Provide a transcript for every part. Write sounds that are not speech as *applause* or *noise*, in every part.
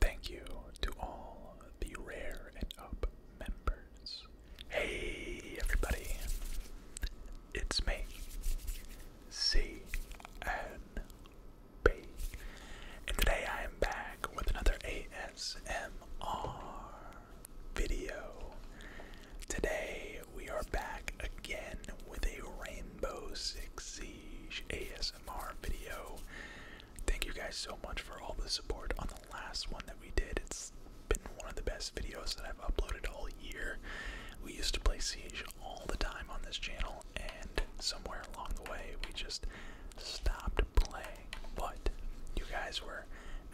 Thank you to all the Rare and Up members. Hey, everybody. It's me, CNB. And today I am back with another ASMR video. Today we are back again with a Rainbow Six Siege ASMR video. Thank you guys so much for all the support on the last one that we did. It's been one of the best videos that I've uploaded all year. We used to play Siege all the time on this channel, and somewhere along the way, we just stopped playing. But you guys were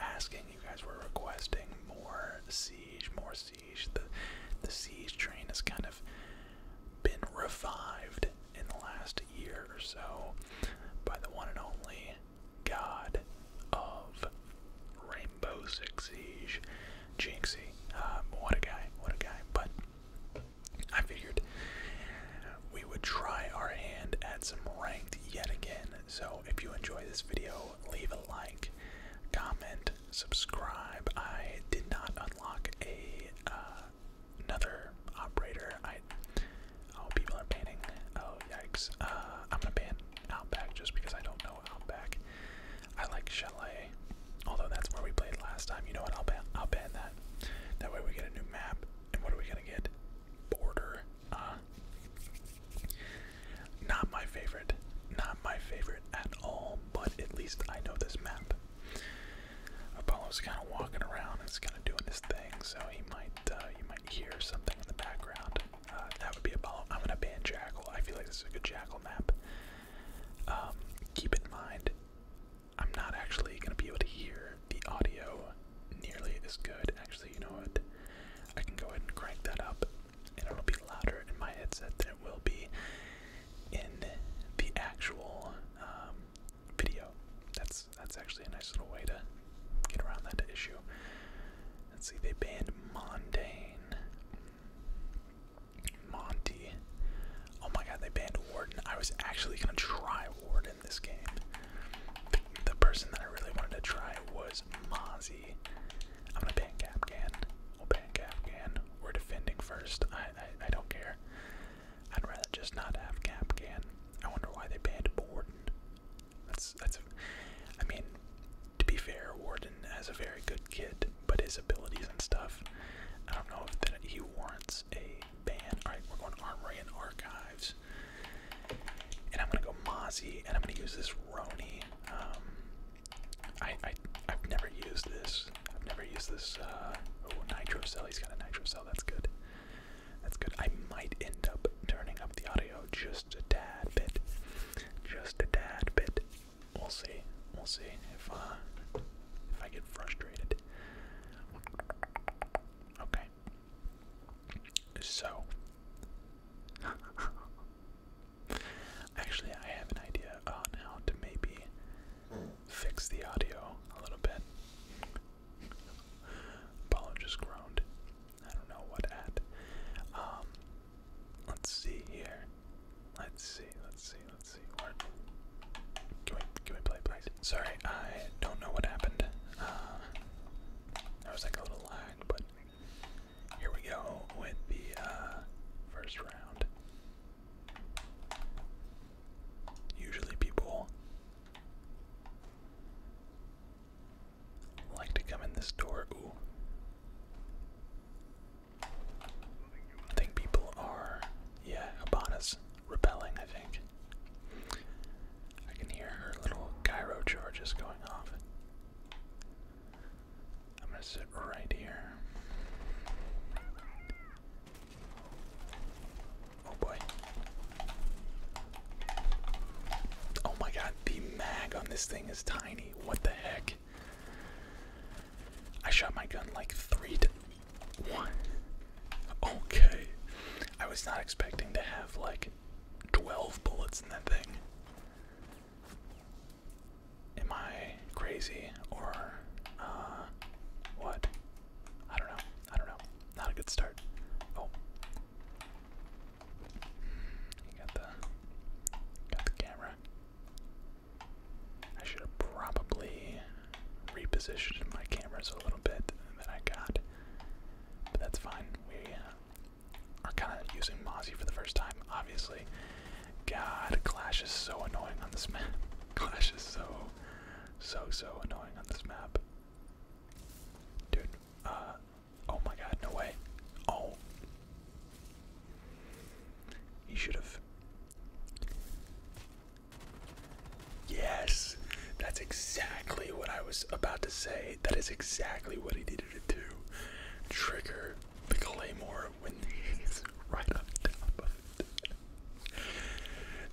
asking, you guys were requesting more Siege, more Siege. The, the Siege train has kind of been revived in the last year or so by the one and only god of Rainbow Six Siege, Jinxie. Um, what a guy, what a guy. But I figured we would try our hand at some ranked yet again. So if you enjoy this video, leave a like, comment, subscribe. I did not unlock a uh, another operator. I oh people are banning. Oh yikes! Uh, I'm gonna ban Outback just because I don't know Outback. I like Chalet, although that's where we played last time. You know what? I'll ban I'll ban that. That way we get a new map. And what are we gonna get? Border. Uh, not my favorite. Not my favorite at all. But at least I know this map. Apollo's kind of walking around and he's kind of doing his thing, so he might you uh, might hear something in the background. Uh, that would be Apollo. I'm gonna ban Jackal. I feel like this is a good Jackal map. Um, keep in mind, I'm not actually gonna be able to hear the audio nearly as good. Actually, you know what? I can go ahead and crank that up, and it'll be louder in my headset than it will be in the actual um, video. That's that's actually a nice little way to get around that issue. Let's see, they banned Mondane. Monty. Oh my god, they banned Warden. I was actually gonna try Warden this game. The, person that I really wanted to try was Mozzie. I'm gonna ban Capcan. We'll ban Capcan. We're defending first. I, I I don't care. I'd rather just not have Cap again. I wonder why they banned Warden. That's that's. I mean, to be fair, Warden has a very good kid, but his abilities and stuff. I don't know if that he warrants a ban. All right, we're going to Armory and Archives, and I'm gonna go Mozzie, and I'm gonna use this Roni. Um, I, I I've never used this. I've never used this. Uh, oh, Nitro Cell. He's got a Nitro Cell. That's good. That's good. I might end up turning up the audio just a tad bit. Just a tad bit. We'll see. We'll see if uh, if I get frustrated. Okay. So *laughs* actually I have an idea on uh, how to maybe fix the audio a little bit. Apologist groaned. I don't know what at. Um, let's see here. Let's see, let's see, let's see. Where, can we, can we play, please? Sorry, I don't know what happened. Uh, was like a little lag, but here we go with the uh, first round. Usually people I like to come in this door. Ooh. I think people are, yeah, Habana's rebelling, I think. I can hear little gyro charges going off. I'm gonna sit right here. Oh boy. Oh my god, the mag on this thing is tiny. What the heck? I shot my gun like three one. Okay. I was not expecting to have like 12 bullets in that thing. Am I crazy or uh, what? I don't know. I don't know. Not a good start. Oh. You got the got the camera. I should have probably repositioned my cameras a little bit that I got. But that's fine. We are kind of using Mozzie for the first time, obviously. God, Clash is so annoying on this map. *laughs* Clash is so, so, so annoying on this map. Dude, uh, oh my god, no way. Oh. He should have. Yes, that's exactly what I was about to say. That is exactly what he needed to do. Trigger the claymore when he's *laughs* right up top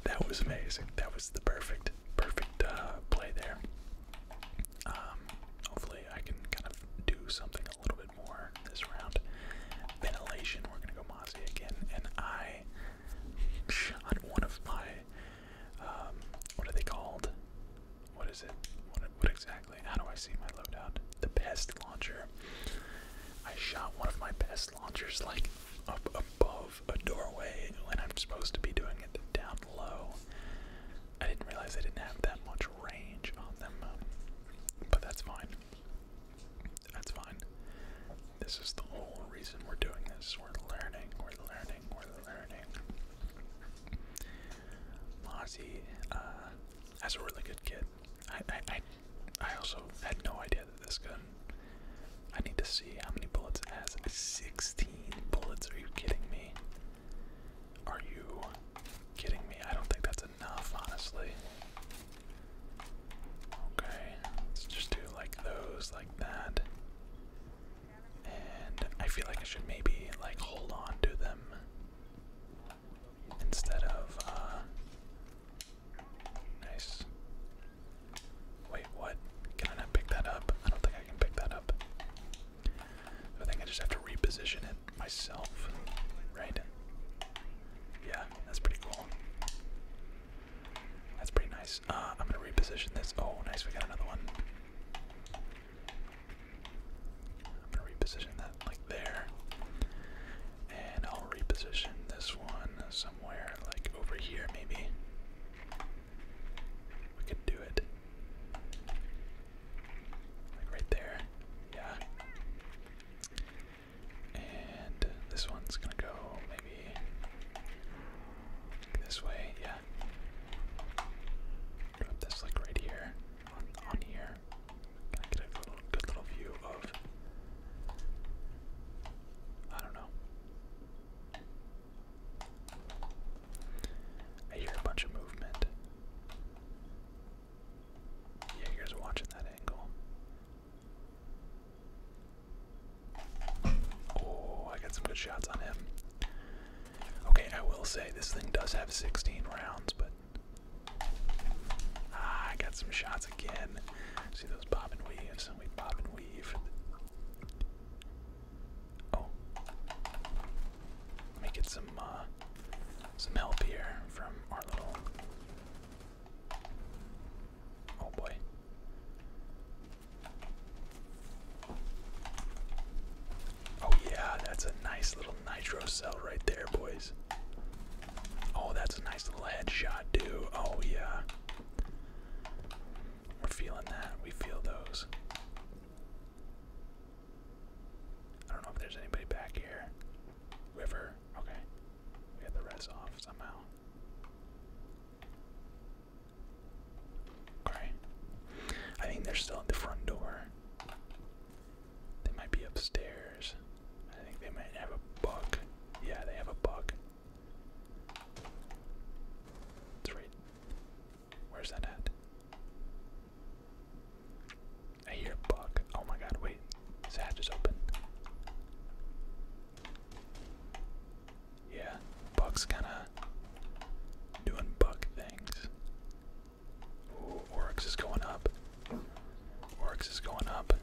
that was amazing. That was the perfect, perfect uh, play there. Um, hopefully, I can kind of do something a little bit more this round. Ventilation. We're gonna go Mozzie again, and I shot one of my. Um, what are they called? What is it? What, exactly? How do I see my loadout? The best launcher. I shot one of my best launchers like up above a doorway when I'm supposed to be doing it down low. I didn't realize I didn't have that much range on them, um, but that's fine. That's fine. This is the whole reason we're doing this. We're learning, we're learning, we're learning. Mozzie, uh, has a really good kid. I, I, I also had no idea this gun. I need to see how many bullets it has. 16 bullets. Are you kidding me? Are you kidding me? I don't think that's enough, honestly. Okay, let's just do like those, like that. And I feel like I should maybe like hold on to them instead of uh, nice. Wait, what? Can I not pick that up? I don't think I can pick that up. I think I just have to reposition it myself, right? Yeah, that's pretty cool. That's pretty nice. Uh, I'm gonna reposition this. Oh, nice, we got another one. I'm gonna reposition that like there. And I'll reposition this one somewhere like over here, maybe. We could do it. right there. Yeah. And this one's gonna go maybe this way, yeah. this like right here. On here. Can I get a good little view of I don't know. I hear a bunch of movement. Yeah, you watching that angle. Oh, I got some good shots on him. Okay, I will say this thing does have 16 rounds, but ah, I got some shots again. See those bob and weaves, bob and weave. Oh. Let me get some uh, some help here from our little Oh boy. Oh yeah, that's a nice little nitro cell right there, boys. Oh, that's a nice little headshot, dude. Oh yeah. We're feeling that. We feel those. I don't know if there's anybody back here. River. Okay. We had the res off somehow. Okay. I think they're still at the front door. They might be upstairs. I think they might have a bug. Yeah, they have a bug. It's Where's that at? I hear bug. Oh my god, wait. This hatch is open. Yeah, bug's kinda doing bug things. Ooh, is going up. Oryx is going up.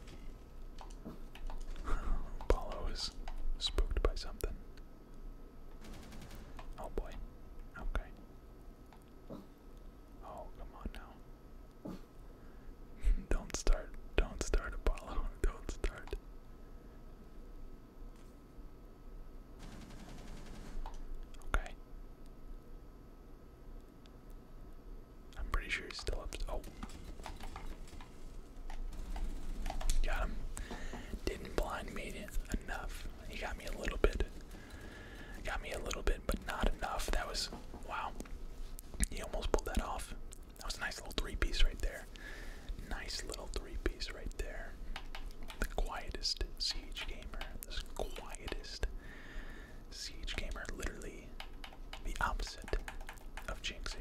*laughs* Apollo is spooked by something. Oh boy. Okay. Oh, come on now. *laughs* don't start. Don't start, Apollo. *laughs* Don't start. Okay. I'm pretty sure he's still up. Oh. Got him. Didn't blind me enough. He got me a little bit. Got me a little bit, but not enough. That was wow. He almost pulled that off. That was a nice little three piece right there. Nice little three piece right there. The quietest siege gamer. This quietest siege gamer. Literally the opposite of Jinxie.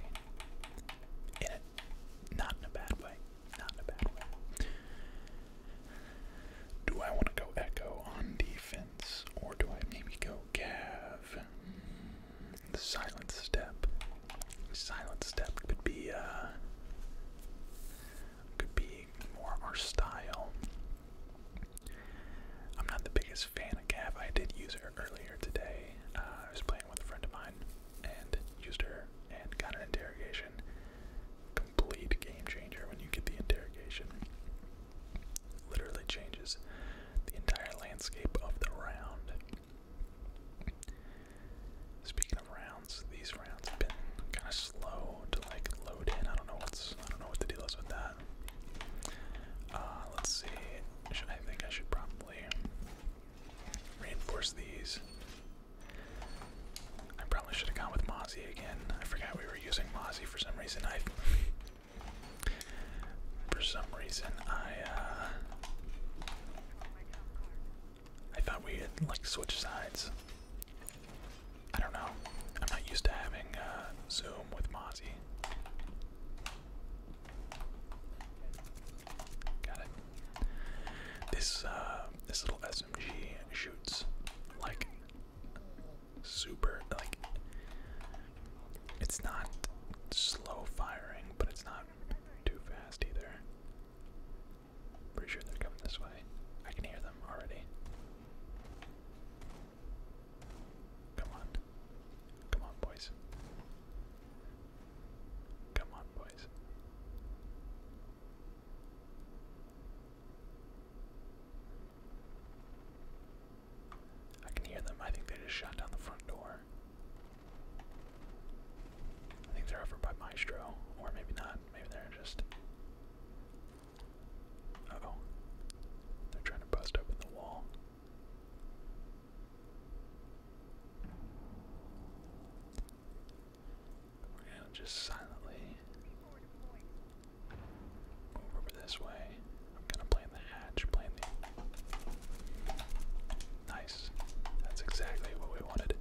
In it. Not in a bad way. Do I want to go Echo on defense, or do I maybe go Gav? Mm, silent Step. Silent Step could be uh, could be more our style. I'm not the biggest fan of Gav. I did use her earlier today. Uh, I was playing with a friend of mine, and used her and got an interrogation. Complete game changer when you get the interrogation. Literally changes the entire landscape of the round. Speaking of rounds, these rounds have been kind of slow to like load in. I don't know what's I don't know what the deal is with that. Uh, let's see. Should I think I should probably Reinforce these. I probably should have gone with Mozzie again. I forgot we were using Mozzie for some reason. I for some reason I uh I thought we had like switch sides. I don't know. I'm not used to having uh, Zoom with Mozzie. Got it. This uh, this little SMG shoots like super like it's not slow firing, but it's not too fast either. Pretty sure they're coming this way. I can hear them already. Come on. Come on, boys. Come on, boys. I can hear them. I think they just shot down the front door. I think they're over by Maestro, or maybe not. Maybe they're just. oh. They're trying to bust open the wall. We're gonna just silently over this way. I'm gonna play the hatch, play the. Nice. That's exactly what we wanted.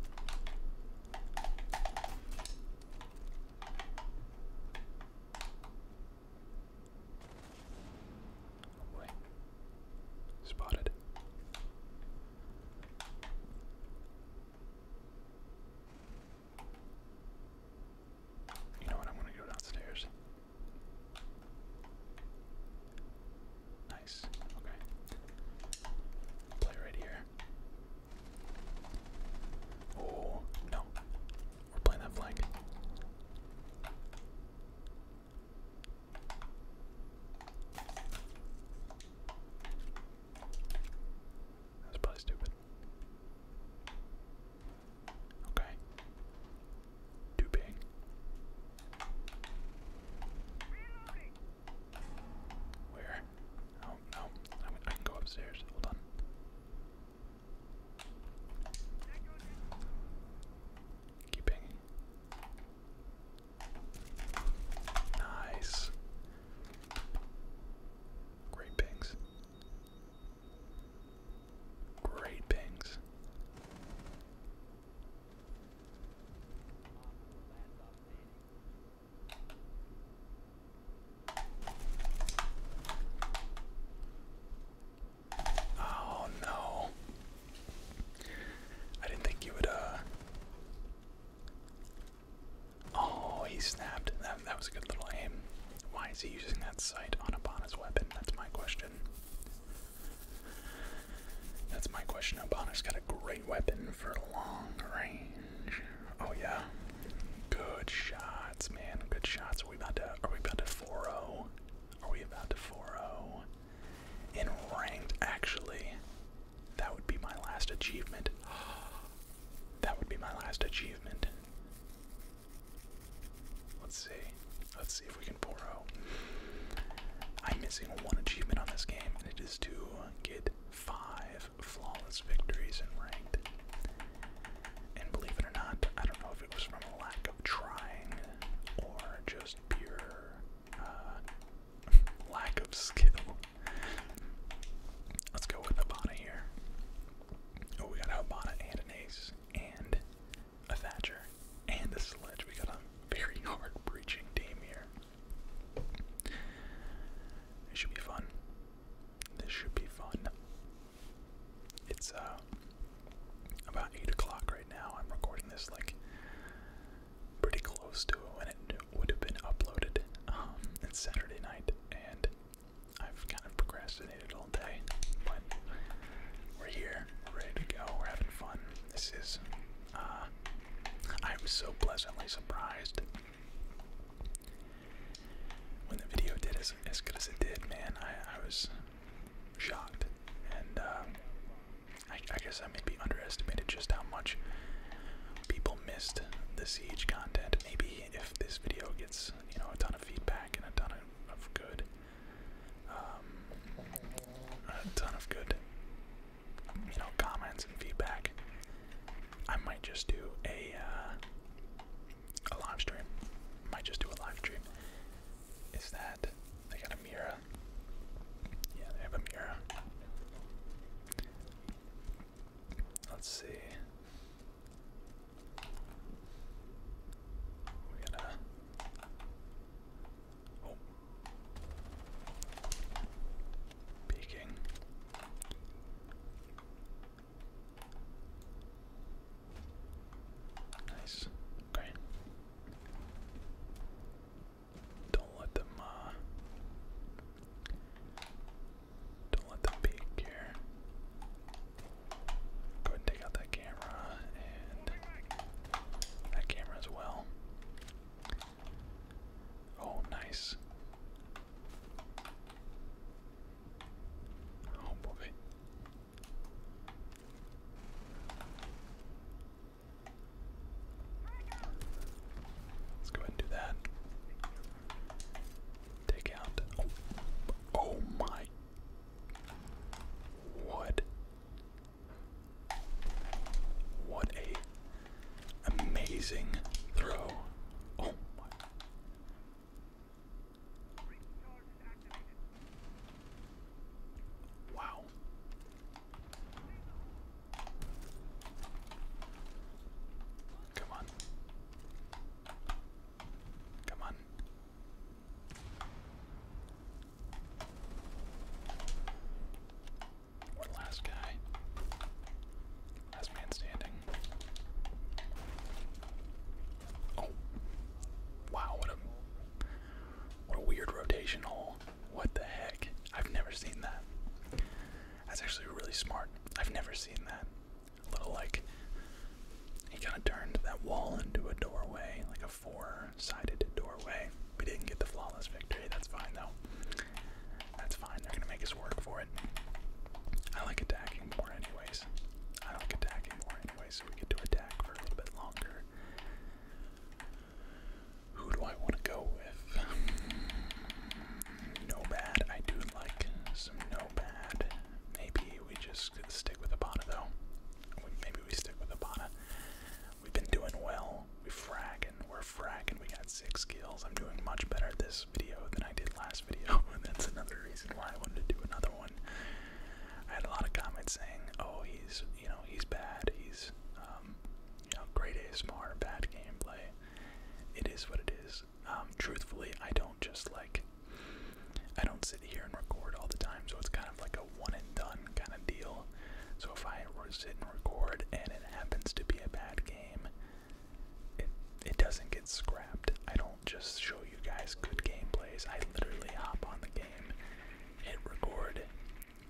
Oh boy. Spotted. You know what? I'm going to go downstairs. Nice. Okay. Play right here. Oh, no. We're playing that flank. That's probably stupid. Okay. Too big. Where? Oh no. I can go upstairs. Hold on. Keeping. Nice. Great pings. Great pings. Oh no. I didn't think you would uh Oh, he snapped. That, was a good little aim. Why is he using that sight on Abana's weapon? That's my question. That's my question. Abana's got a great weapon for long range. Oh yeah. Good shots, man. Good shots. Are we about to are we about to four o? Oh? Are we about to four o? Oh? In ranked, actually. That would be my last achievement. *gasps* That would be my last achievement. Let's see. Let's see if we can 4 I'm missing one achievement on this game, and it is to get five flawless victories in ranked. And believe it or not, I don't know if it was from a lack of trying or just pure uh, *laughs* lack of skill. Let's go with Habana here. Oh, we got a Habana and an ace, and a Thatcher, and a Sledge. We got a very hard breaching team here. It should be fun. This should be fun. It's uh, about eight o'clock right now. I'm recording this like pretty close to it when it would have been uploaded. Um, it's Saturday night, and I've kind of procrastinated all day, but we're here, we're ready to go, we're having fun. This is, uh, I was so pleasantly surprised when the video did as, as good as it did, man. I, I was shocked, and um, I, guess I may be underestimated just how much people missed the siege content. Maybe if this video gets you know a ton of feedback and a ton of, good, um, a ton of good, you know, comments and feedback, I might just do a uh, a live stream. Might just do a live stream. Is that they got a mirror? Yeah, they have a mirror. Let's see. We're gonna. Oh. Peeking. Nice. Okay. Don't let them uh, don't let them peek here. Go and take out that camera and that camera as well. Oh nice. Oh boy. Let's go ahead and do that. Take out. Oh, oh, my. What? What a amazing throw. Oh my. Wow. Come on. Come on. One last guy. Last man standing. Oh. Wow, what a what a weird rotation What the heck? I've never seen that. That's actually really smart. I've never seen that. A little like he kind of turned that wall into a doorway, like a four-sided doorway. We didn't get the flawless victory. That's fine though. That's fine. They're gonna make us work for it. I like attacking more anyways. I like attacking more anyways, we get to attack for a little bit longer. Who do I want to go with? *sighs* No bad. I do like some no bad. Maybe we just stick with Abana though. Maybe we stick with Abana. We've been doing well. We fragging. We're fragging. We got six kills. I'm doing much better this video than I did last video. *laughs* And that's another reason why I wanted to do another one. I had a lot of comments saying, "Oh, he's you know he's bad. He's um, you know great ASMR, bad gameplay." it is what it is. Um, truthfully, I don't just like, I don't sit here and record all the time, so it's kind of like a one and done kind of deal. So if I sit and record and it happens to be a bad game, it, it doesn't get scrapped. I don't just show you guys good gameplays. I literally hop on the game, hit record,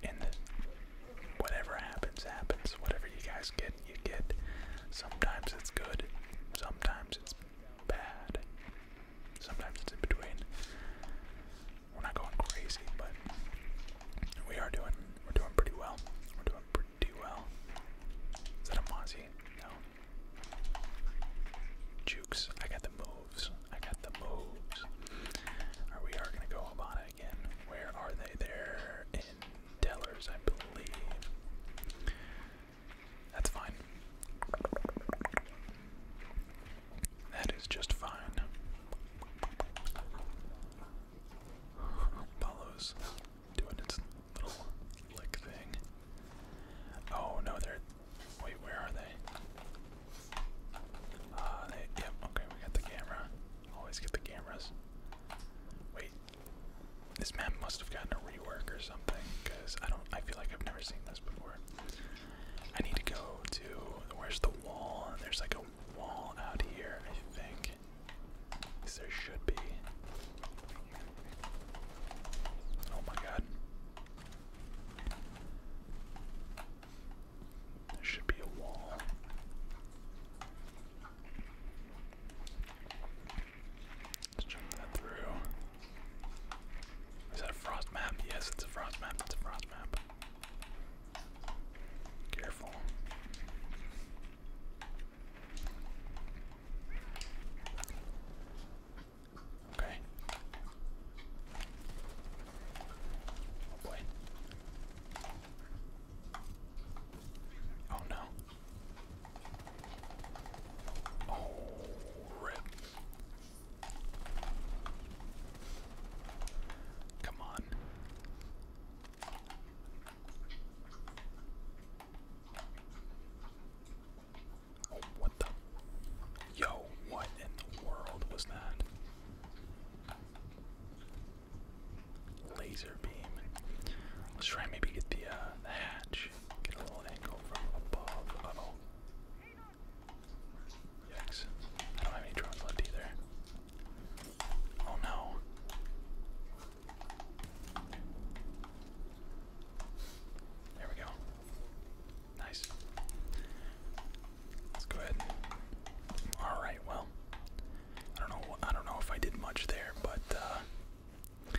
and the whatever happens, happens. Whatever you guys get, you get. Sometimes it's good, sometimes it's bad, sometimes it's in between. We're not going crazy, but we are doing we're doing pretty well. We're doing pretty well. Is that a Mozzie? No. Jukes. I got the moves. I got the moves. Are we are gonna go Habana again? Where are they? they in Tellers, I believe. That's fine. That is just fine. Apollo's doing its little lick thing. Oh no, they're. Wait, where are they? Uh, they. Yep, okay, we got the camera. Always get the cameras. Wait, this map must have gotten a rework or something, because I don't. I feel like I've never seen this before. I need to go to where's the wall? there's like a wall out here, I think. there should be. Oh my god. There should be a wall. Let's jump that through. Is that a frost map? Yes, it's a frost map. It's a frost map. Careful. Okay. Oh boy. Oh no. Oh, rip. Come on. Oh, what the? Yo, what in the world was that? Laser beam. Let's try maybe get the, uh, the hatch. Get a little angle from above. Yikes. I don't have any drones left either. Oh no. There we go. Nice. Let's go ahead. Alright, well. I don't know. I don't know if I did much there, but uh,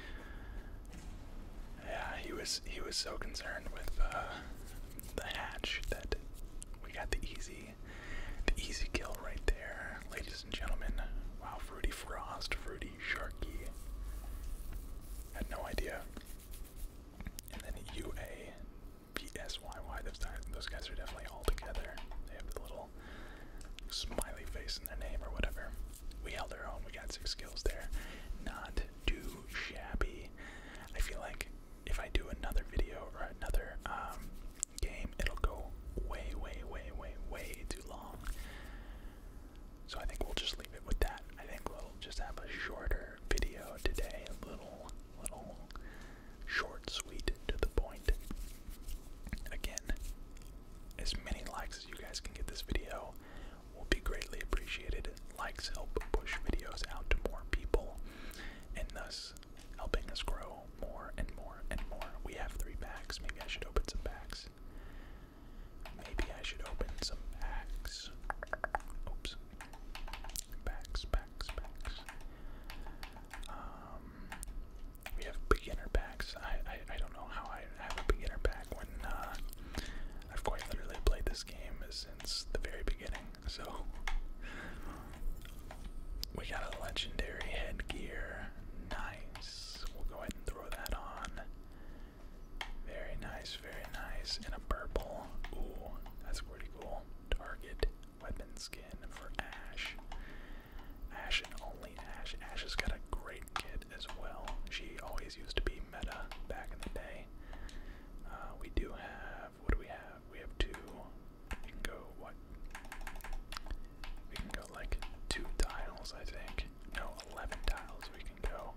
yeah, he was he was so concerned with uh, the hatch that we got the easy the easy kill right there, ladies and gentlemen. Wow, Fruity Frost, Fruity Sharky. Had no idea. And then UA, Those guys are definitely all together. They have the little smiley face in their name or whatever. We held our own. We got six kills there. Not too shabby. I feel like if I do another video or another um, game, it'll go way, way, way, way, way too long. So I think we'll just leave it with that. I think we'll just have a shorter video today, a little, little short, sweet, to the point. Again, as many likes as you guys can get this video will be greatly appreciated. Likes help push videos out to more people and thus helping us grow more and more and more. We have three packs. Maybe I should open some packs. Maybe I should open some packs. Oops. Packs, packs, packs. Um, we have beginner packs. I, I I don't know how I have a beginner pack when uh, I've quite literally played this game since the very beginning. So we got a legendary headgear. Nice. We'll go ahead and throw that on. Very nice, very nice. And a purple. Ooh, that's pretty cool. Target weapon skin for Ash. Ash and only Ash. Ash has got a great kit as well. She always used to be meta back in the day. Uh, we do have, what do we have? We have two. We can go, what? We can go like two tiles, I think. No, 11 tiles we can go.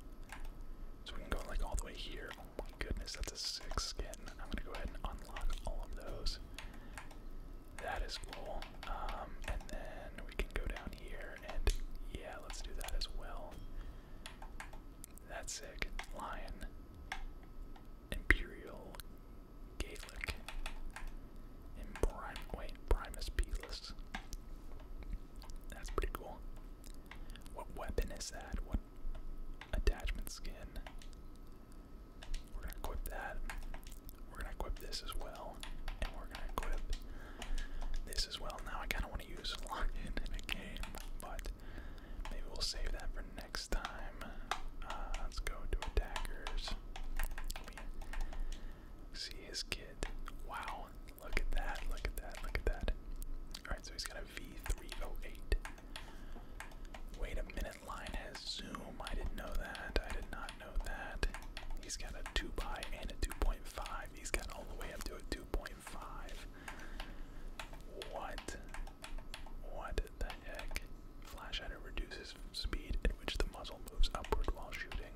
So we can go like all the way here. Oh my goodness, that's a six skin. I'm gonna go ahead and unlock all of those. That is cool. Um, and then we can go down here and yeah, let's do that as well. That's sick. Lion. Imperial Gaelic. wait, Primus Beelus. That's pretty cool. What weapon is that? What attachment skin? We're gonna equip that. We're gonna equip this as well. And we're gonna equip this as well. Now I kinda wanna use *laughs* lock in in a game, but maybe we'll save that for next time. Uh, let's go to attackers. see his kid. Wow. Look at that, look at that, look at that. Alright, so he's got a V308. Wait a minute line has zoom. I didn't know that. I did not know that. He's got a 2 by and a 2.5. He's got all the way up to a 2.5. What? What the heck? Flash hider reduces speed at which the muzzle moves upward while shooting.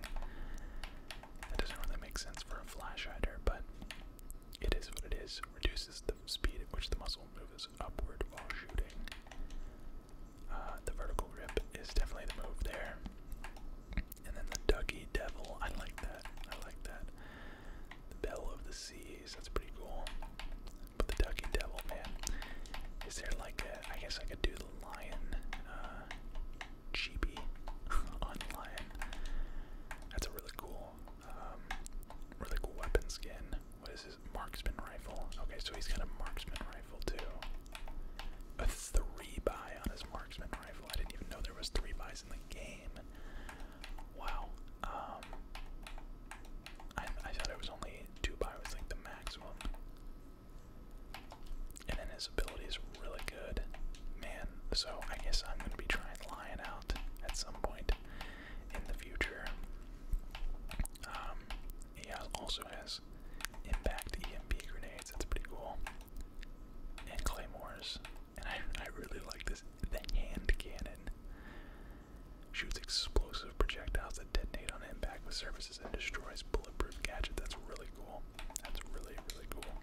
That doesn't really make sense for a flash hider, but it is what it is. Reduces the speed at which the muzzle moves upward while shooting. Uh, the vertical rip is definitely the move there. And then the Ducky Devil, I like that. I like that. The Bell of the Seas, that's pretty cool. But the Ducky Devil, man, is there like a? I guess I could do the Lion, uh, Chibi *laughs* on Lion. That's a really cool, um, really cool weapon skin. What is his marksman rifle? Okay, so he's got a marksman rifle. A three buy on his marksman rifle. I didn't even know there was three buys in the game. Wow. Um, I, thought it was only two buy was like the maximum. And then his ability is really good. Man, so I guess I'm gonna be trying Lion out at some point in the future. Um, he uh, also has impact EMP grenades. That's pretty cool. And claymores. And I, I really like this. The hand cannon shoots explosive projectiles that detonate on impact with surfaces and destroys bulletproof gadget. That's really cool. That's really really cool.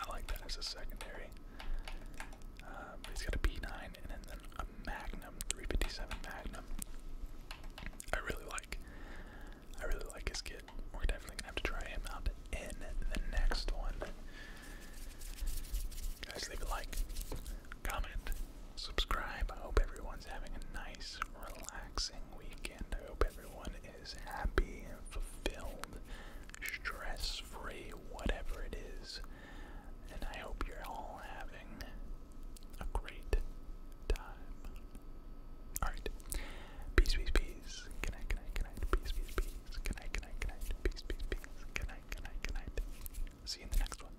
I like that as a secondary. Uh, he's got a P9 and then a Magnum 357 Magnum. I really like. I really like his kid. We're definitely gonna have to try him out in the next one. Guys, leave a like, comment, subscribe. I hope everyone's having a nice, relaxing weekend. I hope everyone is happy and fulfilled, stress-free, whatever it is. And I hope you're all having a great time. Alright. Peace, peace, peace. Good night, good night, good night. Peace, peace, peace. Good night, good night, good night. Peace, peace, peace. Good night, good night, good night. See you in the next one.